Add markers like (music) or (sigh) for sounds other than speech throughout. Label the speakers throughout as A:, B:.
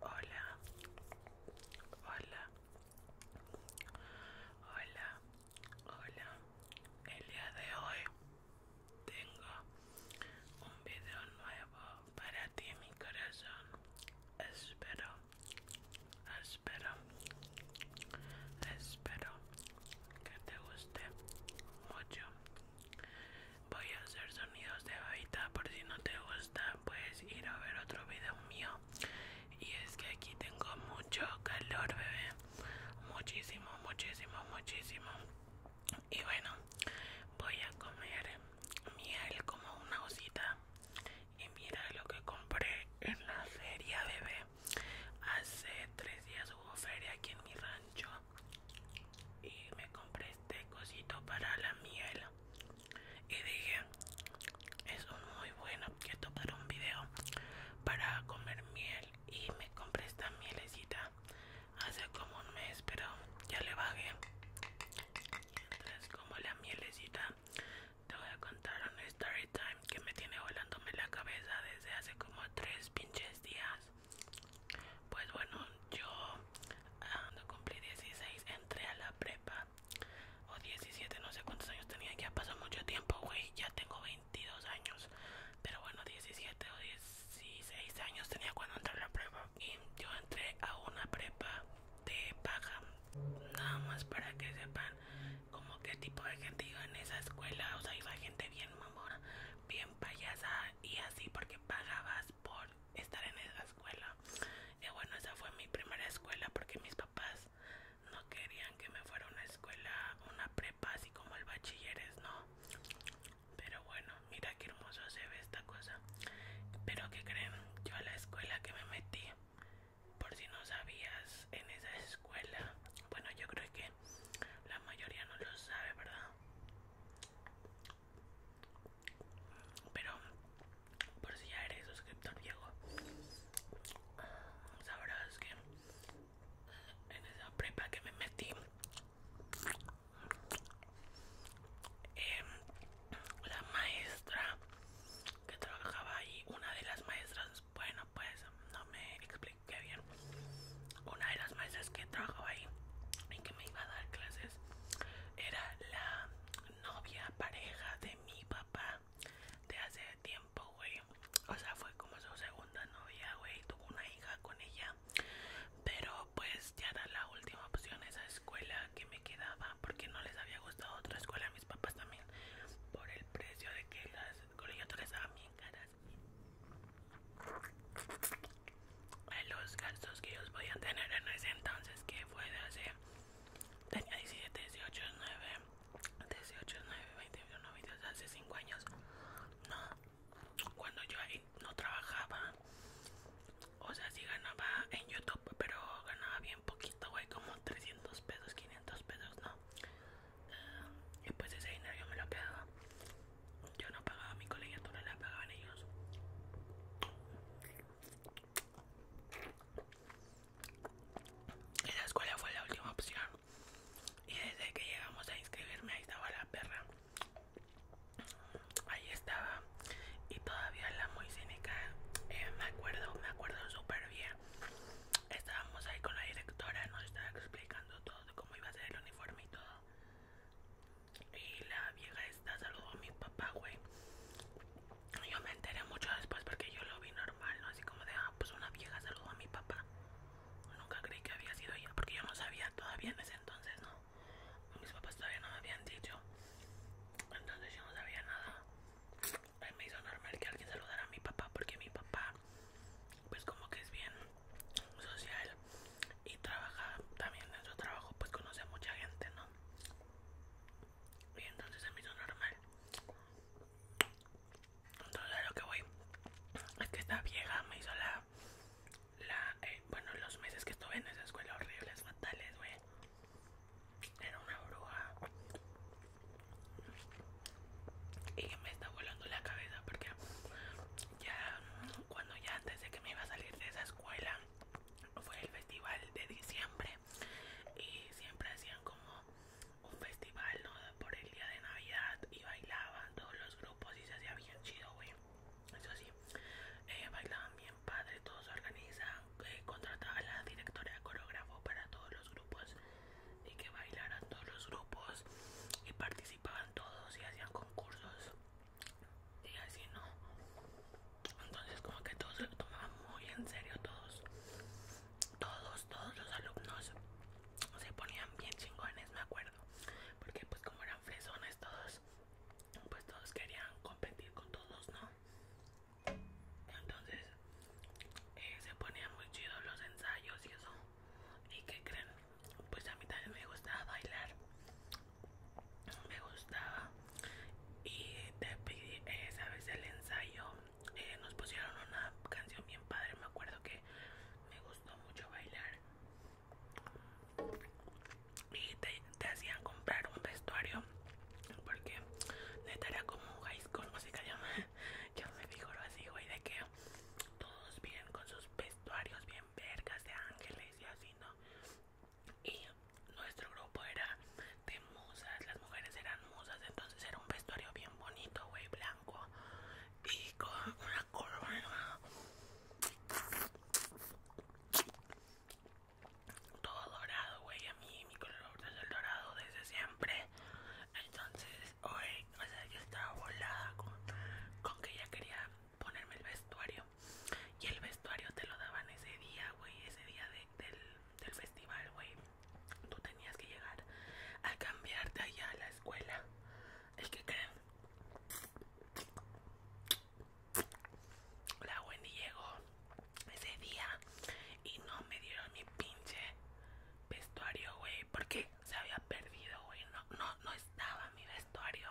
A: Hola, hola, hola, hola. El día de hoy tengo un video nuevo para ti, mi corazón. Espero, espero, espero que te guste mucho Voy a hacer sonidos de babita por si no te gusta puedes ir a ver otro video mío y es que aquí tengo mucho calor bebé muchísimo muchísimo muchísimo y bueno voy a comer miel como una osita y mira lo que compré en la feria bebé hace tres días hubo feria aquí en mi rancho y me compré este cosito para la miel y dije es un muy bueno objeto para un video para comer miel y me compré esta mielecita hace como un mes pero ya le bajé entonces como la mielecita te voy a contar un story time que me tiene volándome la cabeza desde hace como tres pinches días pues bueno, yo ah, cuando cumplí 16 entré a la prepa o 17, no sé cuántos años tenía, ya pasó mucho tiempo, güey, ya tengo 22 años, pero bueno, 17 o 16 años tenía cuando entré a la prepa y yo entré a una prepa de paja, nada más para que sepan como qué tipo de gente iba en esa escuela, o sea, iba gente bien mamona, bien payasa y así porque pagabas por estar en esa escuela. Y bueno, esa fue mi primera escuela porque mis papás no querían que me fuera a una escuela, una prepa, así como el bachilleres, ¿no? Pero bueno, mira qué hermoso se ve esta cosa. Pero que creen, yo a la escuela que me metí, por si no sabías, en esa escuela, bueno, yo creo que la mayoría no lo sabe, ¿verdad? Pero por si ya eres suscriptor viejo, sabrás que en esa prepa que me metí, em, la maestra que trabajaba ahí, una de las maestras, bueno, pues no me expliqué bien, una de las maestras que trabajaba ahí y que me iba a dar clases era la novia pareja de mi papá de hace tiempo, güey. O sea, fue como su segunda novia, güey. Tuvo una hija con ella. Pero pues ya era la última opción esa escuela que me quedaba porque no les había gustado otra escuela a mis papás también por el precio de que las colegiaturas estaban bien caras los gastos que ellos a tener en ese entonces que fue de hace tenía 17 18 9 18 9 21 22 hace 5 años no cuando yo ahí no trabajaba o sea si ganaba en youtube pero ganaba bien poquito güey como 300 pesos 500 pesos no ah, y pues ese dinero yo me lo quedo yo no pagaba mi colegiatura, la pagaban ellos. la escuela fue la última opción. Y desde que llegamos a inscribirme, ahí estaba la perra. Ahí estaba. Y todavía la muy cínica. Eh, me acuerdo, me acuerdo súper bien. Estábamos ahí con la directora, nos estaba explicando todo, cómo iba a ser el uniforme y todo. Y la vieja esta saludó a mi papá, güey. Yo me enteré mucho después porque yo lo vi normal, ¿no? Así como de, ah, pues una vieja saludó a mi papá. Nunca creí que había sido ella porque yo no sabía todavía en ese entonces, ¿no? Mis papás todavía no me habían dicho. Entonces yo no sabía nada. Me hizo normal que alguien saludara a mi papá porque mi papá, pues como que es bien social y trabaja también en su trabajo pues conoce a mucha gente no y entonces se me hizo normal entonces a lo que voy es que esta vieja me hizo la la eh, bueno los meses que estuve en esa escuela horribles fatales güey era una bruja y me está volando la cabeza porque ya cuando ya antes de que me iba a salir de esa escuela fue el festival de diciembre y siempre hacían como un festival ¿no? por el día de navidad y bailaban todos los grupos y se hacía bien chido güey eso sí eh, bailaban bien padre todos se organizan eh, contrataba a la directora de coreógrafo para todos los grupos y que bailaran todos los grupos y participaban todos y hacían concursos y así no entonces como que todos se lo tomaban muy en serio todos todos todos los alumnos se ponían bien chingones me acuerdo porque pues como eran fresones todos pues todos querían competir con todos no entonces eh, se ponían muy chidos los ensayos y eso y que creen pues a mí también me gustaba bailar me gustaba y te pedí esa eh, sabes el ensayo eh, nos pusieron una canción bien padre me acuerdo que me gustó mucho bailar y te, hacían comprar un vestuario porque neta era como un high school (laughs) yo me figuro así güey de que todos bien con sus vestuarios bien vergas de ángeles y así, ¿no? Y nuestro grupo era de musas, las mujeres eran musas, entonces era un vestuario bien bonito, güey, blanco y con una corona. Todo dorado, güey, a mí mi color es el dorado desde siempre. Entonces, hoy, o sea, yo estaba volada con, con que ya quería ponerme el vestuario. Y el vestuario te lo daban ese día, güey, ese día del, del festival, güey. Tú tenías que llegar a cambiarte allá a la escuela. ¿Es que creen. La Wendy llegó ese día y no me dieron mi pinche vestuario, güey, porque se había perdido, güey. no, no estaba mi vestuario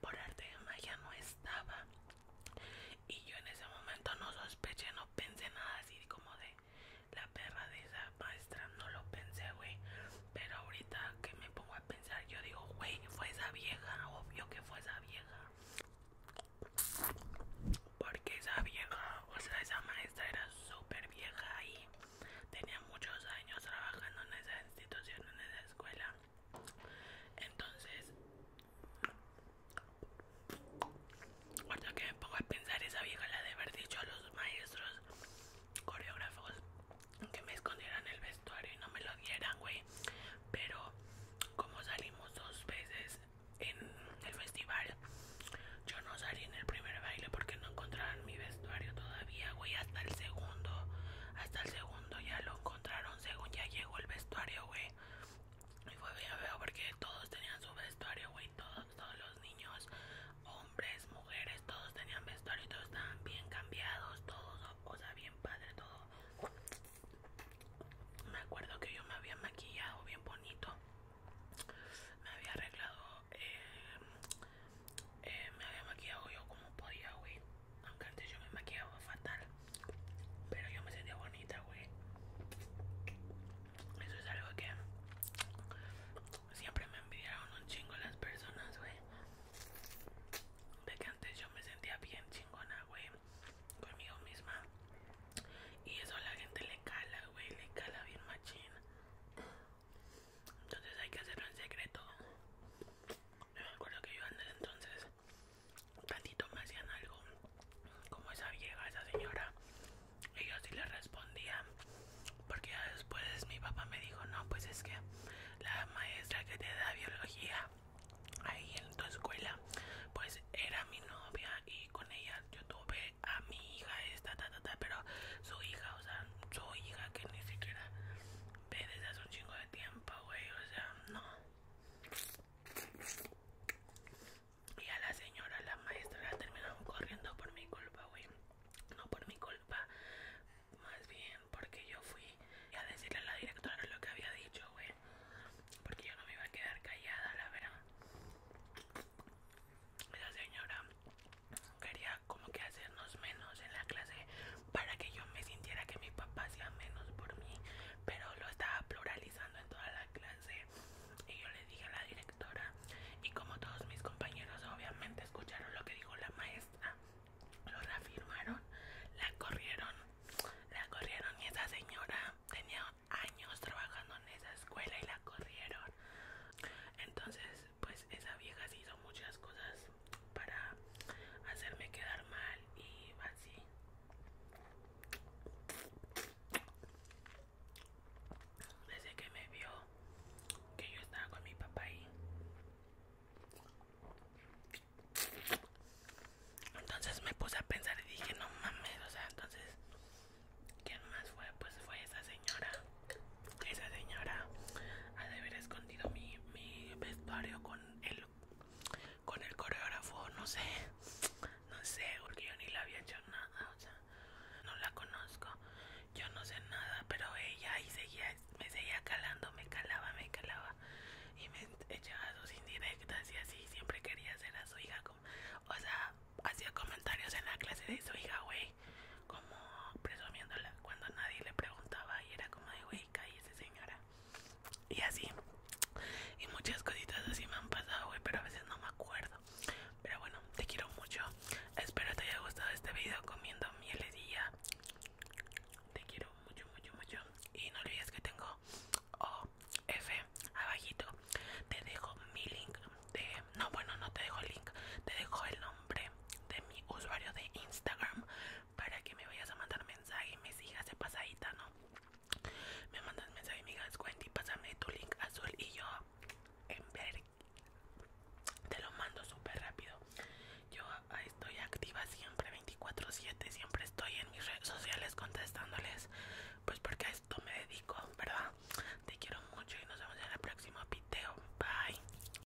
A: por arte de magia no estaba y yo en ese momento no sospeché no pensé nada así como de la perra de esa maestra no lo pensé güey pero ahorita que me pongo a pensar yo digo güey fue esa vieja obvio que fue esa vieja porque esa vieja o sea esa maestra era súper vieja ahí. Tenía muchos años trabajando en esa institución, en esa escuela. Entonces, cuando que me pongo a pensar, esa vieja la de haber dicho a los maestros coreógrafos que me escondieran el vestuario y no me lo dieran, güey. Pero como salimos dos veces en el festival, yo no salí en el primer baile porque no encontraron mi vestuario todavía, güey, hasta el segundo. Hasta el segundo ya lo encontraron, según ya llegó el vestuario, güey. Y fue bien veo porque todos tenían su vestuario, güey. Todos, todos los niños, hombres, mujeres, todos tenían vestuario y todos estaban bien cambiados, todos, o sea, bien padre, todo. Me acuerdo que yo me había maquillado bien bonito. Me había arreglado eh, eh, me había maquillado yo como podía, güey. Aunque antes yo me maquillaba fatal. Pero yo me sentía bonita, güey. Eso es algo que siempre me envidiaron un chingo las personas, güey. De que antes yo me sentía bien chingona, güey. Conmigo misma. Y eso a la gente le cala, güey. Le cala bien machín entonces hay que hacerlo en secreto me acuerdo que yo antes entonces tantito me hacían algo como esa vieja esa señora y yo sí le respondía porque después mi papá me dijo no pues es que la maestra que te da biología ahí en tu escuela pues era mi novia y con ella yo tuve a mi hija esta pero su hija o sea su hija que ni siquiera desde hace un chingo de tiempo, güey. O sea, no. Y a la señora, la maestra, la terminaron corriendo por mi culpa, güey. No por mi culpa, más bien porque yo fui a decirle a la directora lo que había dicho, güey. Porque yo no me iba a quedar callada, la verdad. La señora quería como que hacernos menos en la clase para que yo me sintiera que mi papá hacía menos por mí pero lo estaba pluralizando en toda la clase y yo le dije a la directora y como todos mis compañeros obviamente escucharon lo que dijo la maestra lo reafirmaron la corrieron la corrieron y esa señora tenía años trabajando en esa escuela y la corrieron entonces pues esa vieja hizo muchas cosas para hacerme quedar mal y así. Desde que me vio que yo estaba con mi papá ahí. Entonces me puse a pensar y dije, no mames, o sea, entonces, ¿quién más fue? Pues fue esa señora. Esa señora ha de haber escondido mi, mi vestuario con el, con el coreógrafo, no sé, no sé, porque yo ni la había hecho nada, o sea, no la conozco, yo no sé nada, pero ella ahí seguía, me seguía calando, me calaba, me calaba y me echaba sus indirectas y así, siempre quería ser a su hija, o sea, hacía comentarios en la clase de su hija, güey como presumiéndola cuando nadie le preguntaba y era como de güey, esa señora. Y así. Y muchas cositas así me han pasado, güey, pero a veces no me acuerdo. Pero bueno, te quiero mucho. Espero te haya gustado este video comiendo mieles y ya. Te quiero mucho, mucho, mucho. Y no olvides que tengo OF abajito. Te dejo mi link No, bueno, no te dejo el link. Te dejo el nombre de mi usuario de Instagram para que me vayas a mandar mensaje y me sigas de pasadita, ¿no? Me mandas mensaje y me y Wendy, pásame tu link azul y yo en ver te lo mando súper rápido. Yo ah, estoy activa siempre 24/7, siempre estoy en mis redes sociales contestándoles, pues porque a esto me dedico, ¿verdad? Te quiero mucho y nos vemos en el próximo video. Bye.